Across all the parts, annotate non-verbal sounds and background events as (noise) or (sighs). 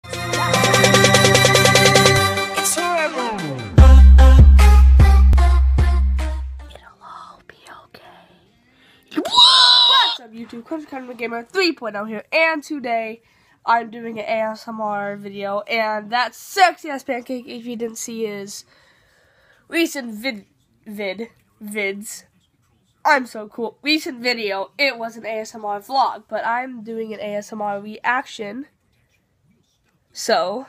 What's up, YouTube, Crimson Academy Gamer 3.0 here, and today I'm doing an ASMR video, and that sexy ass pancake, if you didn't see his recent vid, vid, vids, I'm so cool, recent video it was an ASMR vlog, but I'm doing an ASMR reaction. So,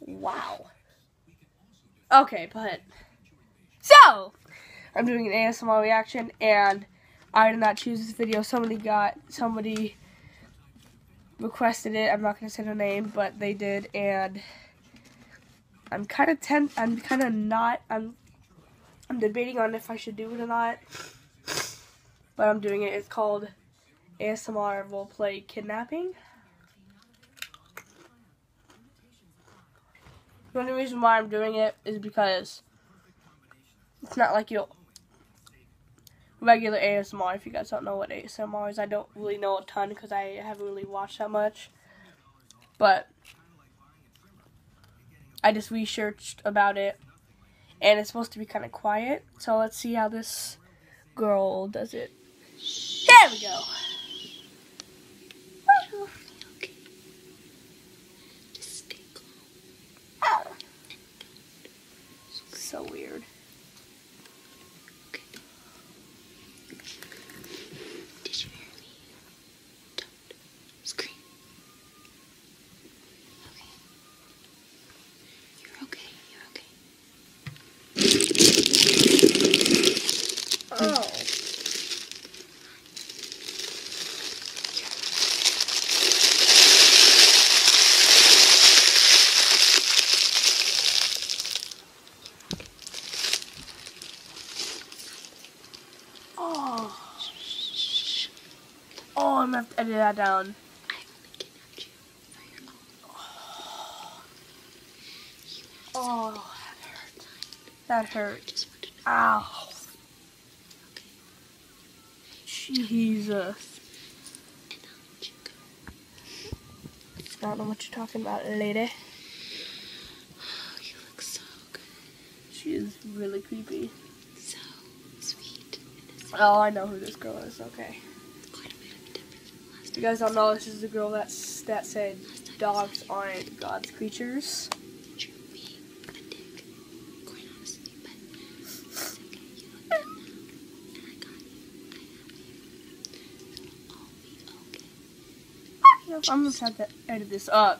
wow. Okay, but, so, I'm doing an ASMR reaction, and I did not choose this video. Somebody got, somebody requested it. I'm not going to say their name, but they did, and I'm kind of ten, I'm kind of not, I'm, I'm debating on if I should do it or not but I'm doing it. It's called ASMR Role Play Kidnapping. The only reason why I'm doing it is because it's not like your regular ASMR. If you guys don't know what ASMR is, I don't really know a ton because I haven't really watched that much. But I just researched about it, and it's supposed to be kind of quiet. So let's see how this girl does it. There we go. So weird. Screen. Okay. You're okay. You're okay. Oh. Mm. Oh. shh. Oh, I'm gonna have to edit that down. Oh, that hurt. That hurt. Ow. Okay. Jesus. I don't know what you're talking about, lady. (sighs) She is really creepy. So sweet. Oh, I know who this girl is. Okay. You guys don't know this is the girl that that said dogs aren't God's creatures. I'm gonna have to edit this up.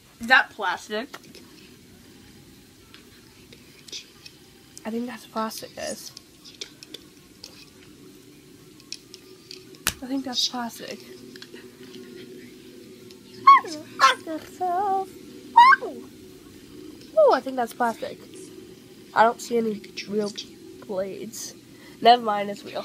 Is that plastic? I think that's plastic, guys. I think that's plastic. Oh, I think that's plastic. I don't see any real blades. Never mind, it's real.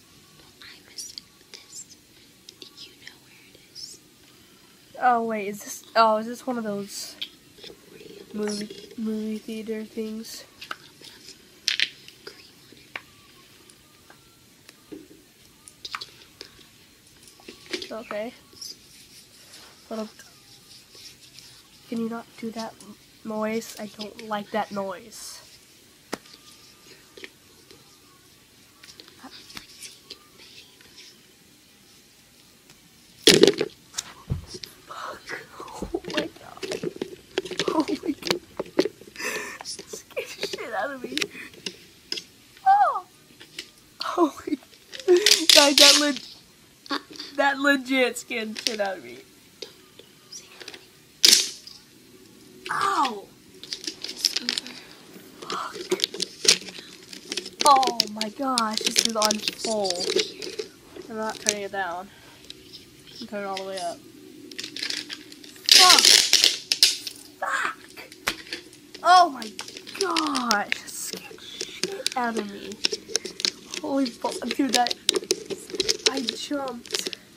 Oh wait, is this? Oh, is this one of those movie movie theater things? Okay. Little. Can you not do that noise? I don't like that noise. Oh my god. Oh my god. scared shit out of me. Oh. Oh my god. Guys, that, leg that legit scared shit out of me. Ow! Fuck. Oh my gosh, this is on full. I'm not turning it down. I'm turning it all the way up. Fuck! Fuck! Oh my gosh! Scared out of me. Holy fuck, dude, that I jumped.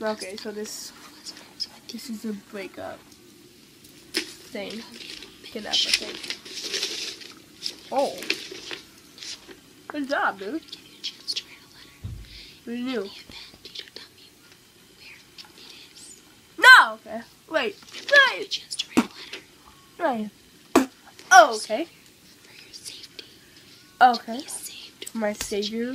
Okay, so this this is a breakup thing. Get up, I think. Oh. Good job, dude. What do you do? No! Okay. Wait. Wait! Right. Oh, okay. Okay. My savior.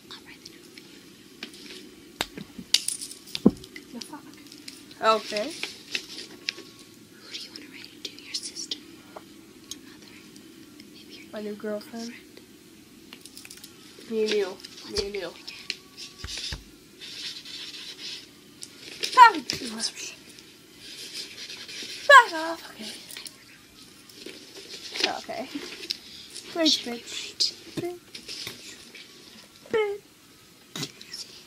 Okay. Who do you want to write it Your sister? mother? Maybe your girlfriend? Me and Neil. Me and Neil. Back off. Okay. Okay. Great, bitch bed, bed,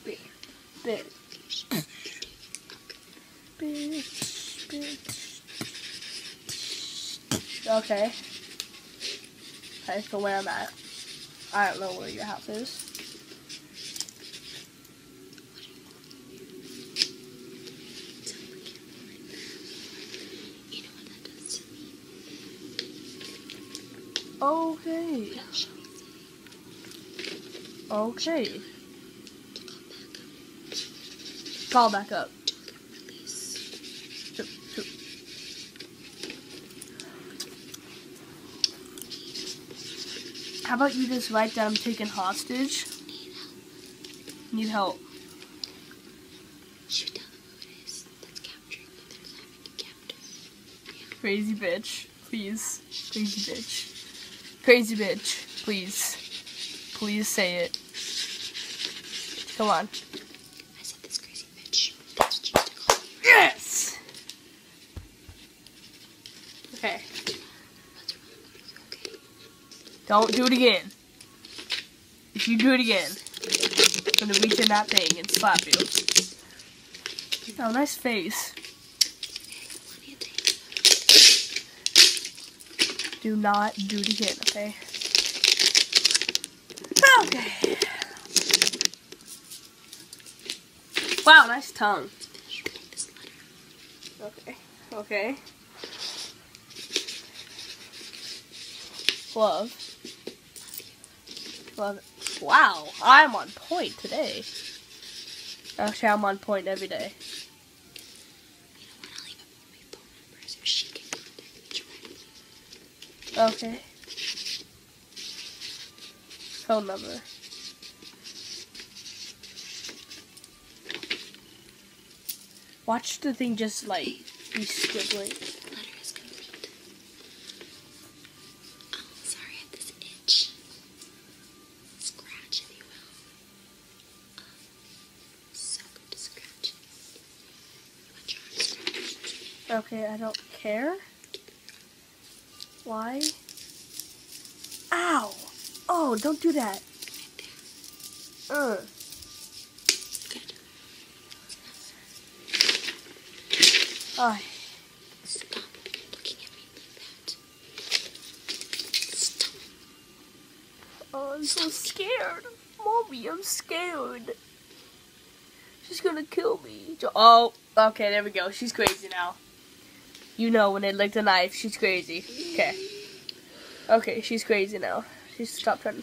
bed, bed, bed, bed. Okay. That's the where I'm at. I don't know where your house is. You Okay. Okay. Call back up. How about you just write that I'm taken hostage? Need help. Shoot down the moon that's Crazy bitch, please. Crazy bitch. Crazy bitch, please. Please say it. Come on. Yes! Okay. Don't do it again. If you do it again, I'm gonna reach in that thing and slap you. Oh, nice face. Do not do it again, okay? Okay. Wow, nice tongue. Okay, okay. Love wow, I'm on point today. Actually, I'm on point every day. Okay. Phone number. Watch the thing just like be squibbling. Oh, sorry, I have this itch. Scratch, if you will. Um, scratch. Okay, I don't care. Why? Ow! Oh, don't do that. Right Oh. Stop looking at me like that. Stop. Oh, I'm so scared. Mommy, I'm scared. She's gonna kill me. Oh, okay, there we go. She's crazy now. You know when they lick the knife, she's crazy. Okay. Okay, she's crazy now. She's stopped trying to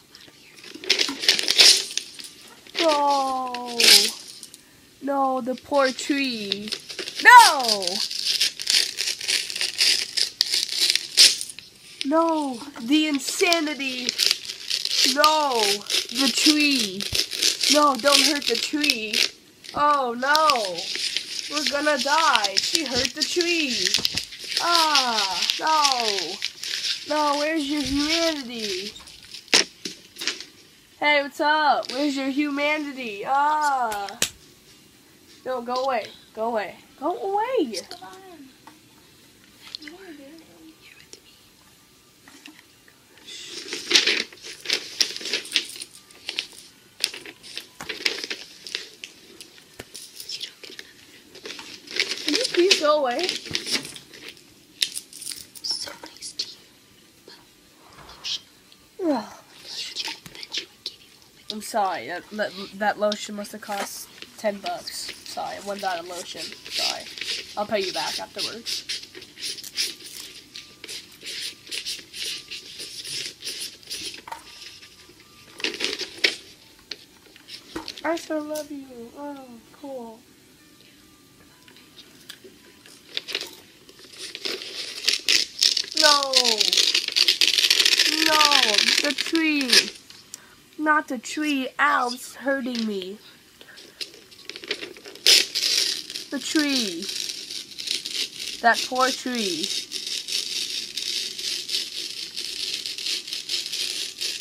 No! No, the poor tree. No! No, the insanity. No, the tree. No, don't hurt the tree. Oh, no. We're gonna die. She hurt the tree. Oh no. No, where's your humanity? Hey, what's up? Where's your humanity? Ah. No, go away. Go away. Go away. Can you Please go away. I'm sorry, that, lotion must have cost 10 bucks. Sorry, one dollar lotion. Sorry. I'll pay you back afterwards. I still love you. Oh, cool. No! No! The tree! Not the tree! Ow, it's hurting me. The tree. That poor tree.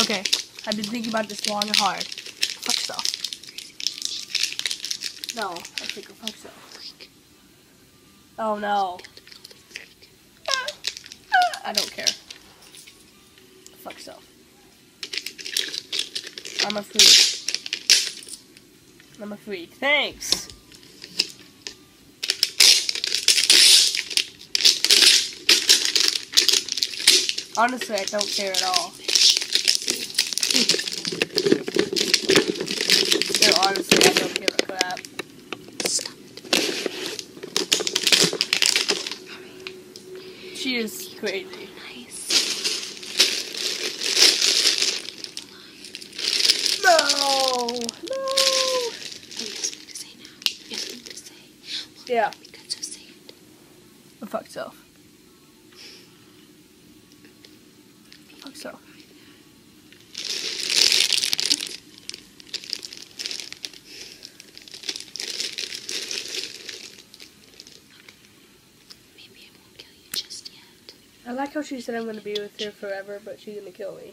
Okay, I've been thinking about this long and hard. Fuck self. No, I think of fuck self. Oh no. I don't care. Fuck self. I'm a freak. I'm a freak. Thanks! Honestly, I don't care at all. honestly, I don't give a crap. She is crazy. Nice. No! No! You have to say. yeah. it. The fuck self. Fuck self. I like how she said I'm gonna be with her forever, but she's gonna kill me.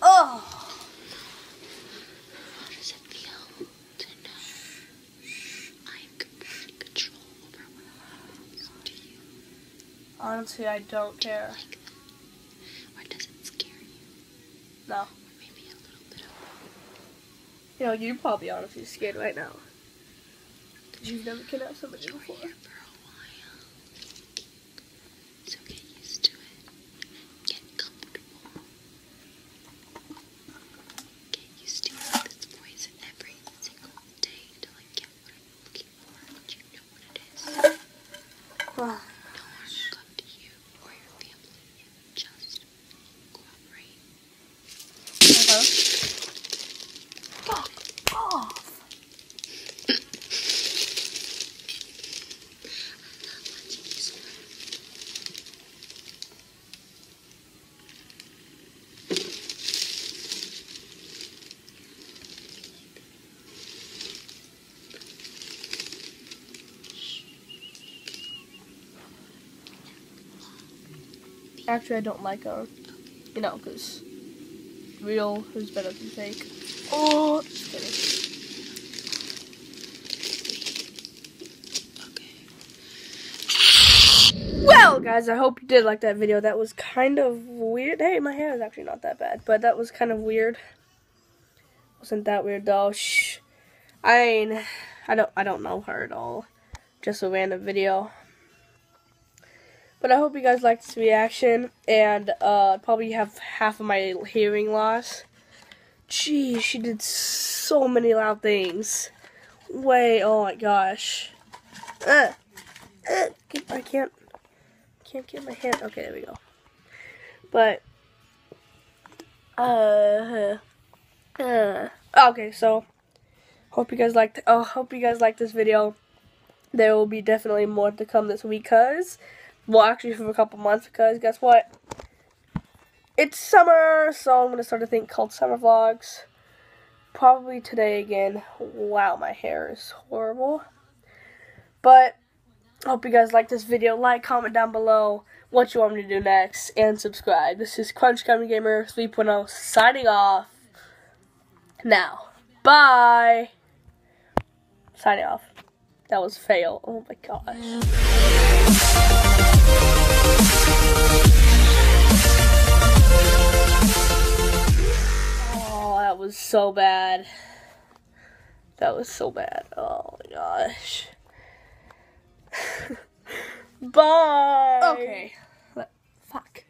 Oh. How does it feel to know I am control over what happens to you? Honestly, I don't care. Do does it scare you? No. Or You are probably honestly scared right now. Because you've never kidnapped somebody you before. For a while. So get used to it. Get comfortable. Get used to this voice every single day until I get what I'm looking for. Do you know what it is? no harm will to you or your family. Just cooperate. Hello? Fuck Actually, I don't like them you know, because real is better than fake. Oh, okay. Well, guys, I hope you did like that video. That was kind of weird. Hey, my hair is actually not that bad, but that was kind of weird. Wasn't that weird though? Shh. I mean, I don't, I don't know her at all. Just a random video. But I hope you guys liked this reaction, and uh, probably have half of my hearing loss. Geez, she did so many loud things. Way, oh my gosh. Uh, uh, I can't, can't get my hand. Okay, there we go. But, uh, okay, so, hope you guys liked, oh, hope you guys liked this video there will be definitely more to come this week because well actually for a couple months because guess what it's summer so i'm gonna start a thing called summer vlogs probably today again wow my hair is horrible but hope you guys like this video like comment down below what you want me to do next and subscribe this is crunch Comedy gamer 3.0 signing off now, bye. Sign it off. That was fail. Oh my gosh. Oh, that was so bad. That was so bad. Oh my gosh. (laughs) Bye. Okay. Fuck.